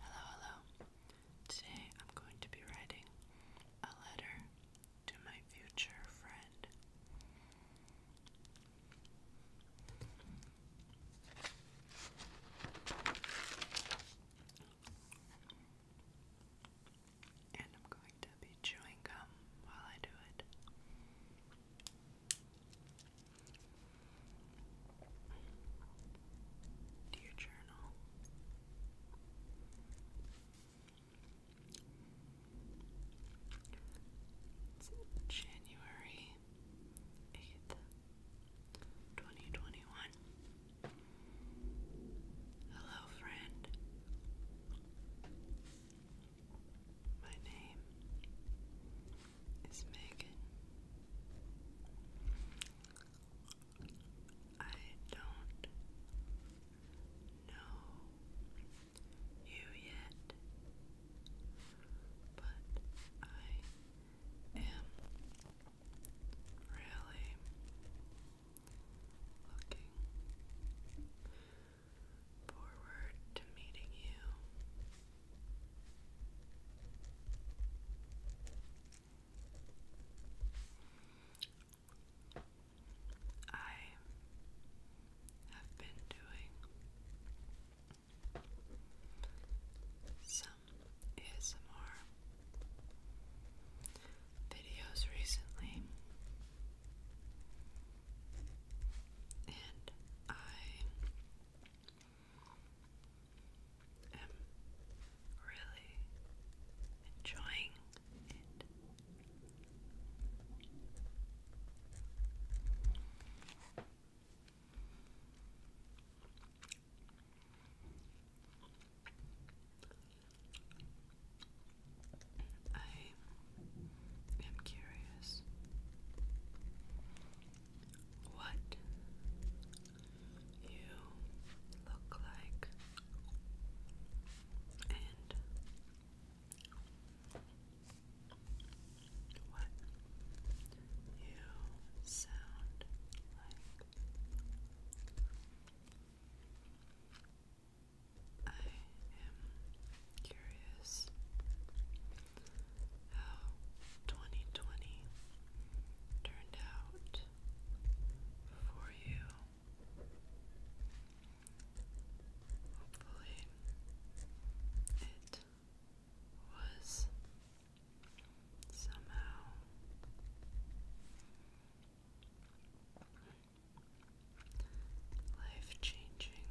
Hello, hello. Today I'm going to be writing a letter to my future friend. And I'm going to be chewing gum while I do it. Dear journal. January 8th, 2021. Hello, friend. My name is Megan. I don't know you yet, but I am really Looking forward to meeting you. I have been doing some ASMR videos recently, and I am really enjoying it. I am curious what you look like and what you sound like. I am curious how 2020 turned out for you. Hopefully, it was somehow Life changing.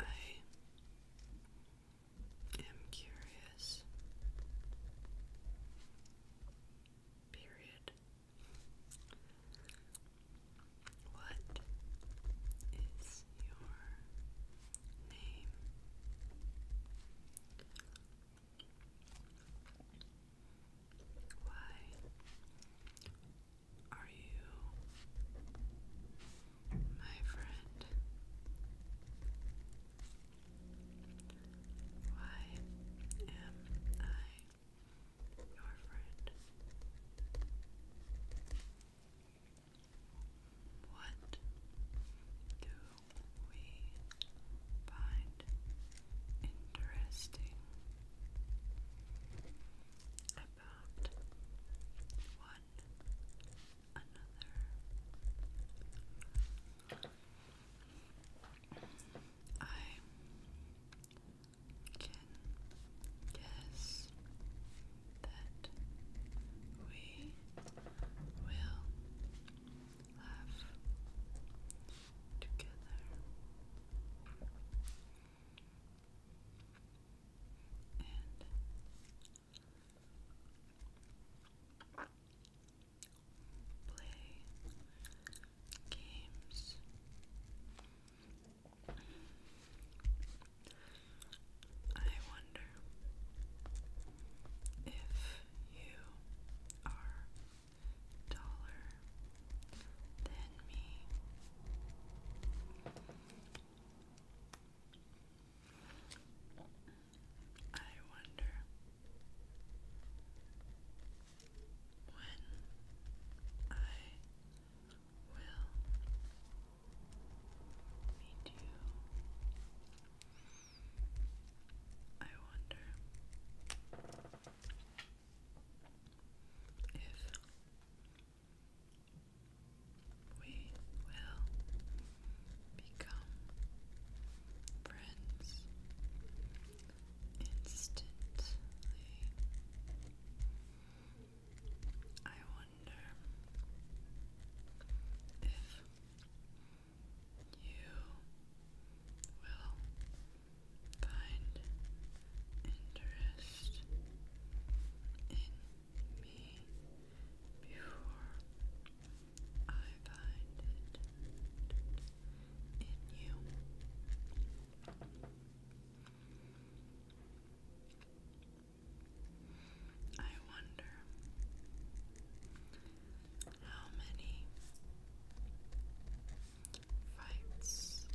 I am curious. Period. What is your name? Why are you my friend? Why am I? your friend. What do we find interesting about one another? I can guess that we will laugh together. And play games. I wonder if you are taller than me. I wonder when I will meet you. I wonder if we will become friends instantly. I wonder if you will find interest in me before I find it in you. I wonder how many fights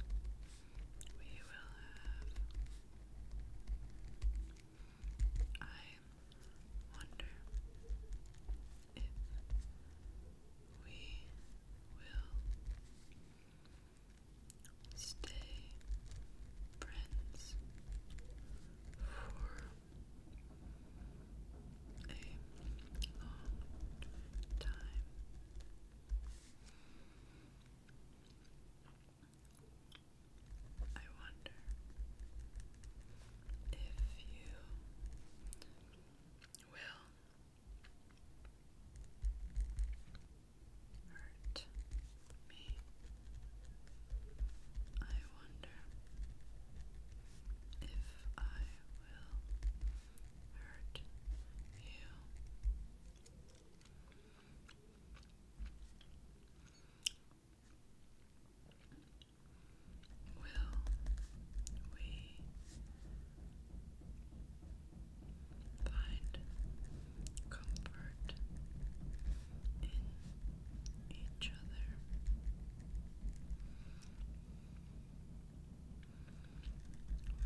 we will have. I wonder if we will stay friends for a long time. I wonder if you will hurt me. I wonder if I will hurt you will we find comfort in each other? Will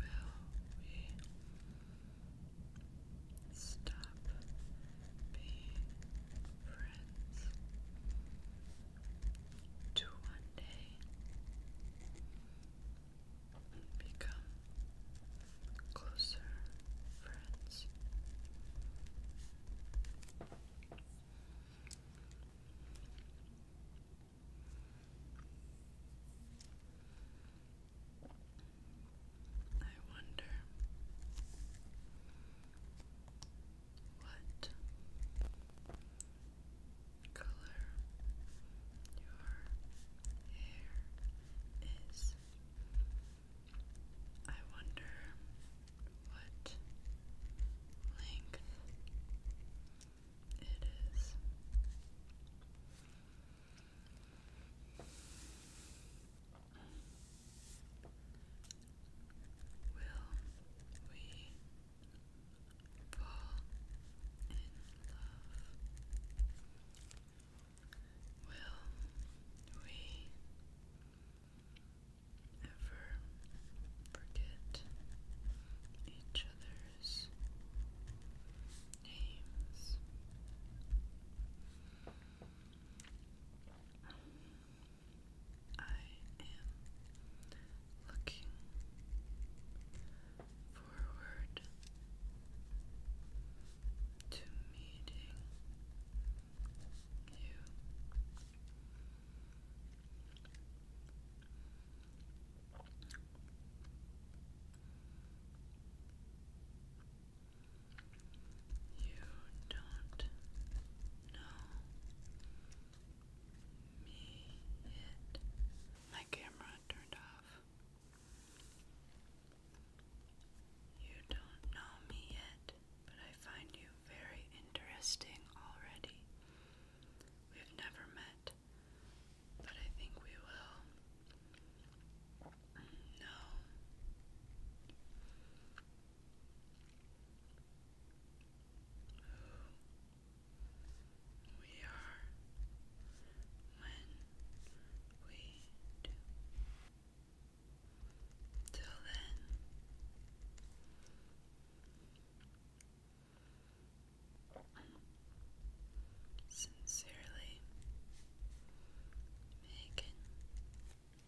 we stop being friends? to one day become closer friends. I wonder what color your hair is. I wonder what length it is. Will we fall in love? Will we ever forget each other's names? I am looking forward to meeting you. You don't know me yet. My camera turned off. You don't know me yet, but I find you very interesting already. We've never met, but I think we will. No who we are when we do. Till then, sincerely, Megan.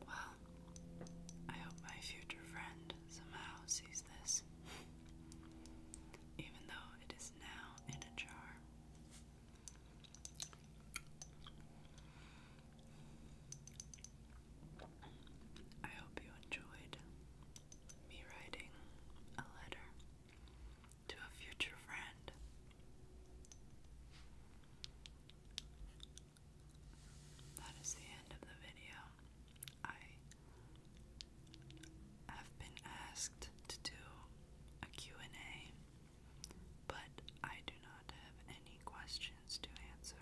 Well, I hope my future friend somehow sees this, even though it is now in a jar. I hope you enjoyed me writing a letter to a future friend that is the end of the video. I have been asked to do a and a but I do not have any questions to answer.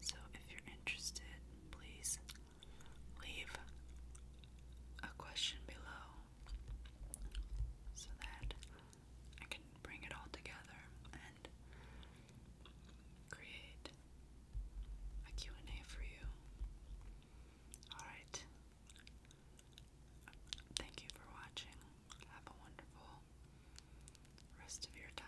So if you're interested, please leave a question below so that I can bring it all together and create a and a for you. All right. Thank you for watching. Have a wonderful rest of your time.